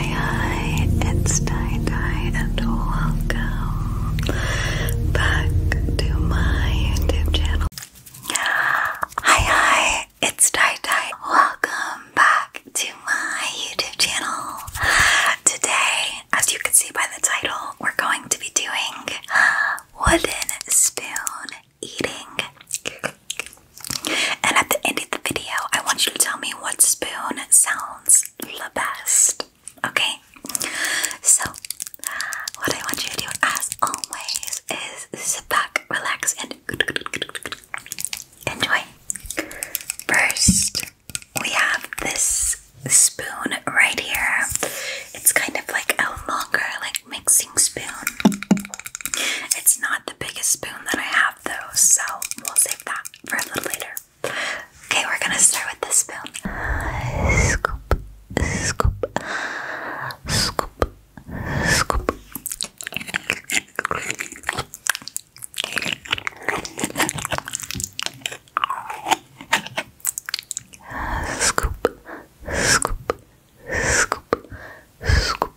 Hi, it's Tie Dye and welcome back to my YouTube channel. Hi, hi, it's Tie Dye. Welcome back to my YouTube channel. Today, as you can see by the title, we're going to be doing uh, wooden spoon eating. And at the end of the video, I want you to tell me what spoon sounds the best. Okay? So, what I want you to do, as always, is sit back, relax, and enjoy. First, we have this spoon right here. It's kind of like a longer, like mixing spoon. It's not the biggest spoon that I have though, so we'll save that for a little later. Okay, we're gonna start with this spoon. scoop, scoop, scoop. Scoop, scoop, scoop, scoop,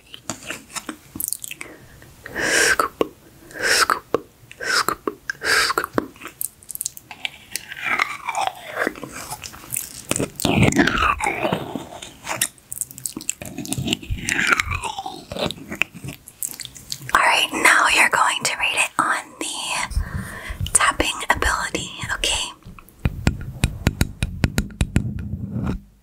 Scoop, scoop, scoop, scoop. Alright, now you're going to rate it on the tapping ability, okay?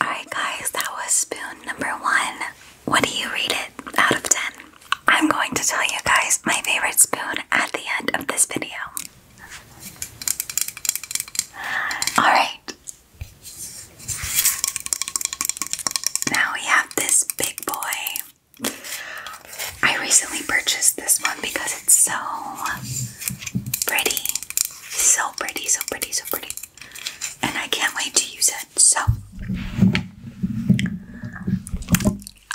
Alright, guys, that was spoon number one. What do you rate it out of 10? I'm going to tell you guys my favorite spoon at the end of this video. Alright. Now we have this big boy. I recently purchased this one because it's so Pretty. So pretty, so pretty, so pretty. And I can't wait to use it. So.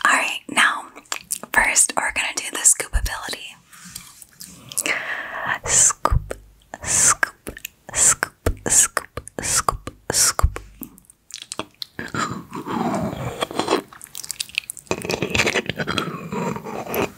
Alright, now, first we're gonna do the scoop ability. Scoop, scoop, scoop, scoop, scoop, scoop.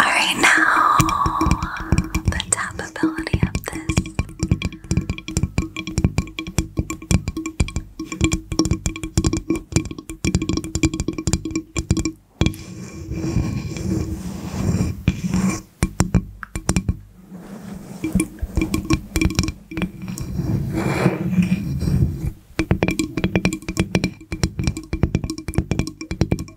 Alright, now the tap of this.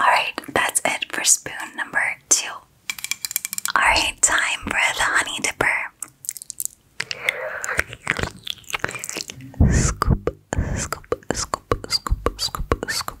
Alright, that's it for spoon number two. Alright, time for the honey dipper. Scoop, scoop, scoop, scoop, scoop, scoop.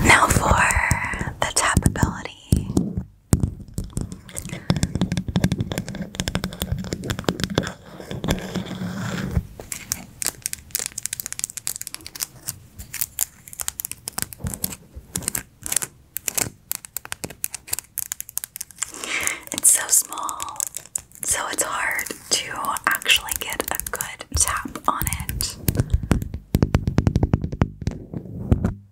Now for the tap ability. It's so small, so it's hard to actually get a good tap on it.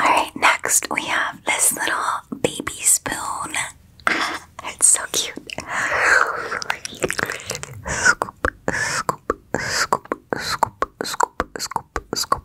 Alright, next we have this little baby spoon. it's so cute. Scoop, scoop, scoop, scoop, scoop, scoop, scoop.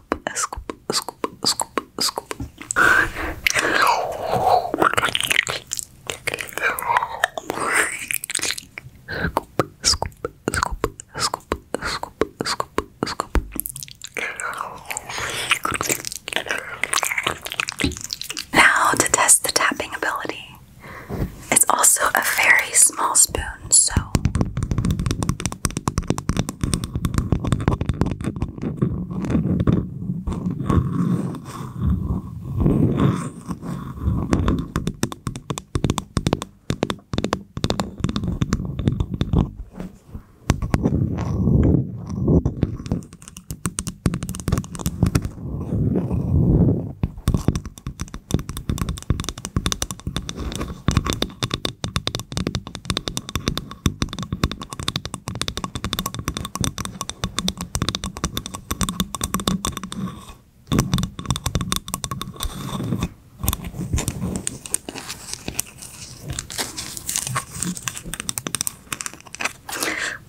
scoop, a scoop, a scoop, a scoop, a scoop. Scoop, scoop, scoop, scoop, scoop, scoop, scoop. Now to test the tapping ability. It's also a very small spoon, soon, so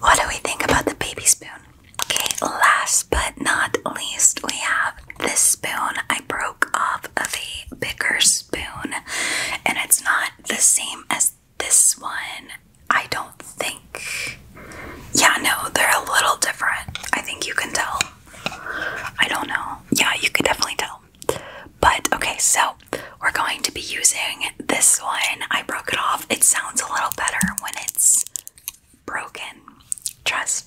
what do we think about the baby spoon? Okay, last but not least, we have this spoon. I broke stroke of the bigger spoon, and it's not the same as this one, I don't think. Yeah, no, they're a little different. I think you can tell. I don't know. Yeah, you could definitely tell. But okay, so we're going to be using this one. I broke it off. It sounds a little better when it's broken. Trust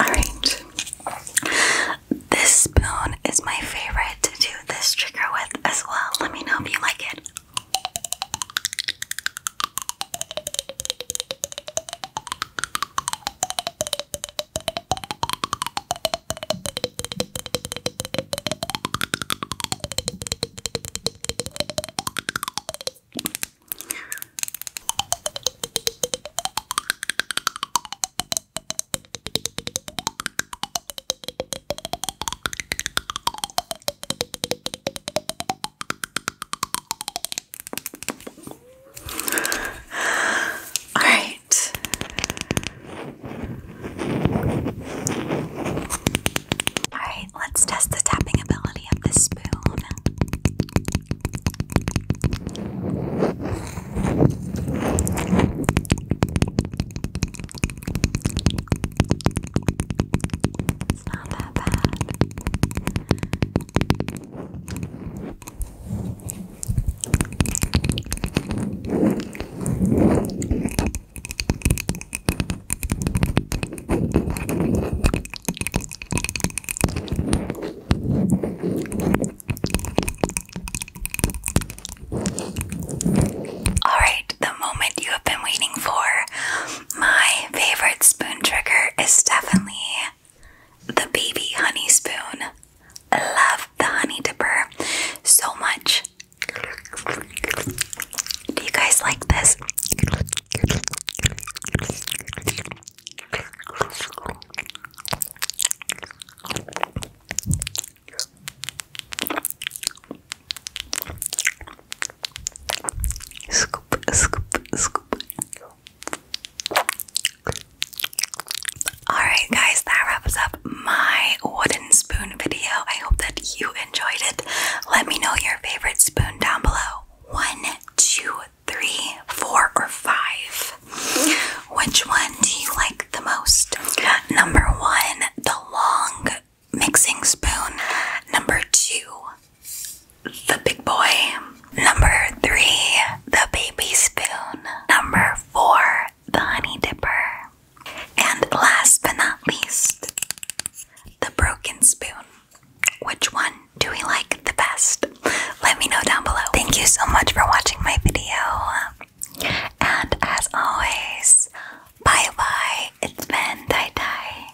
Alright. This spoon is my favorite to do this trigger with as well. Let me know if you like it. All right. I let's test the tapping ability of this spoon. It's not that bad. Alright, the moment you have been waiting for. My favorite spoon trigger is definitely the baby honey spoon. I love the honey dipper so much. Do you guys like this? Scoop, scoop, scoop. Alright, guys, that wraps up my wooden spoon video. I hope that you enjoyed it. Let me know your favorite spoon down below. One, two, three, four, or five. Which one do you like the most? Number one, the long mixing spoon. Number two, the big boy. Number three, the baby spoon. Number four, the honey dipper. And last but not least, the broken spoon. Which one do we like the best? Let me know down below. Thank you so much for watching my video. And as always, bye bye. It's Tai Tai.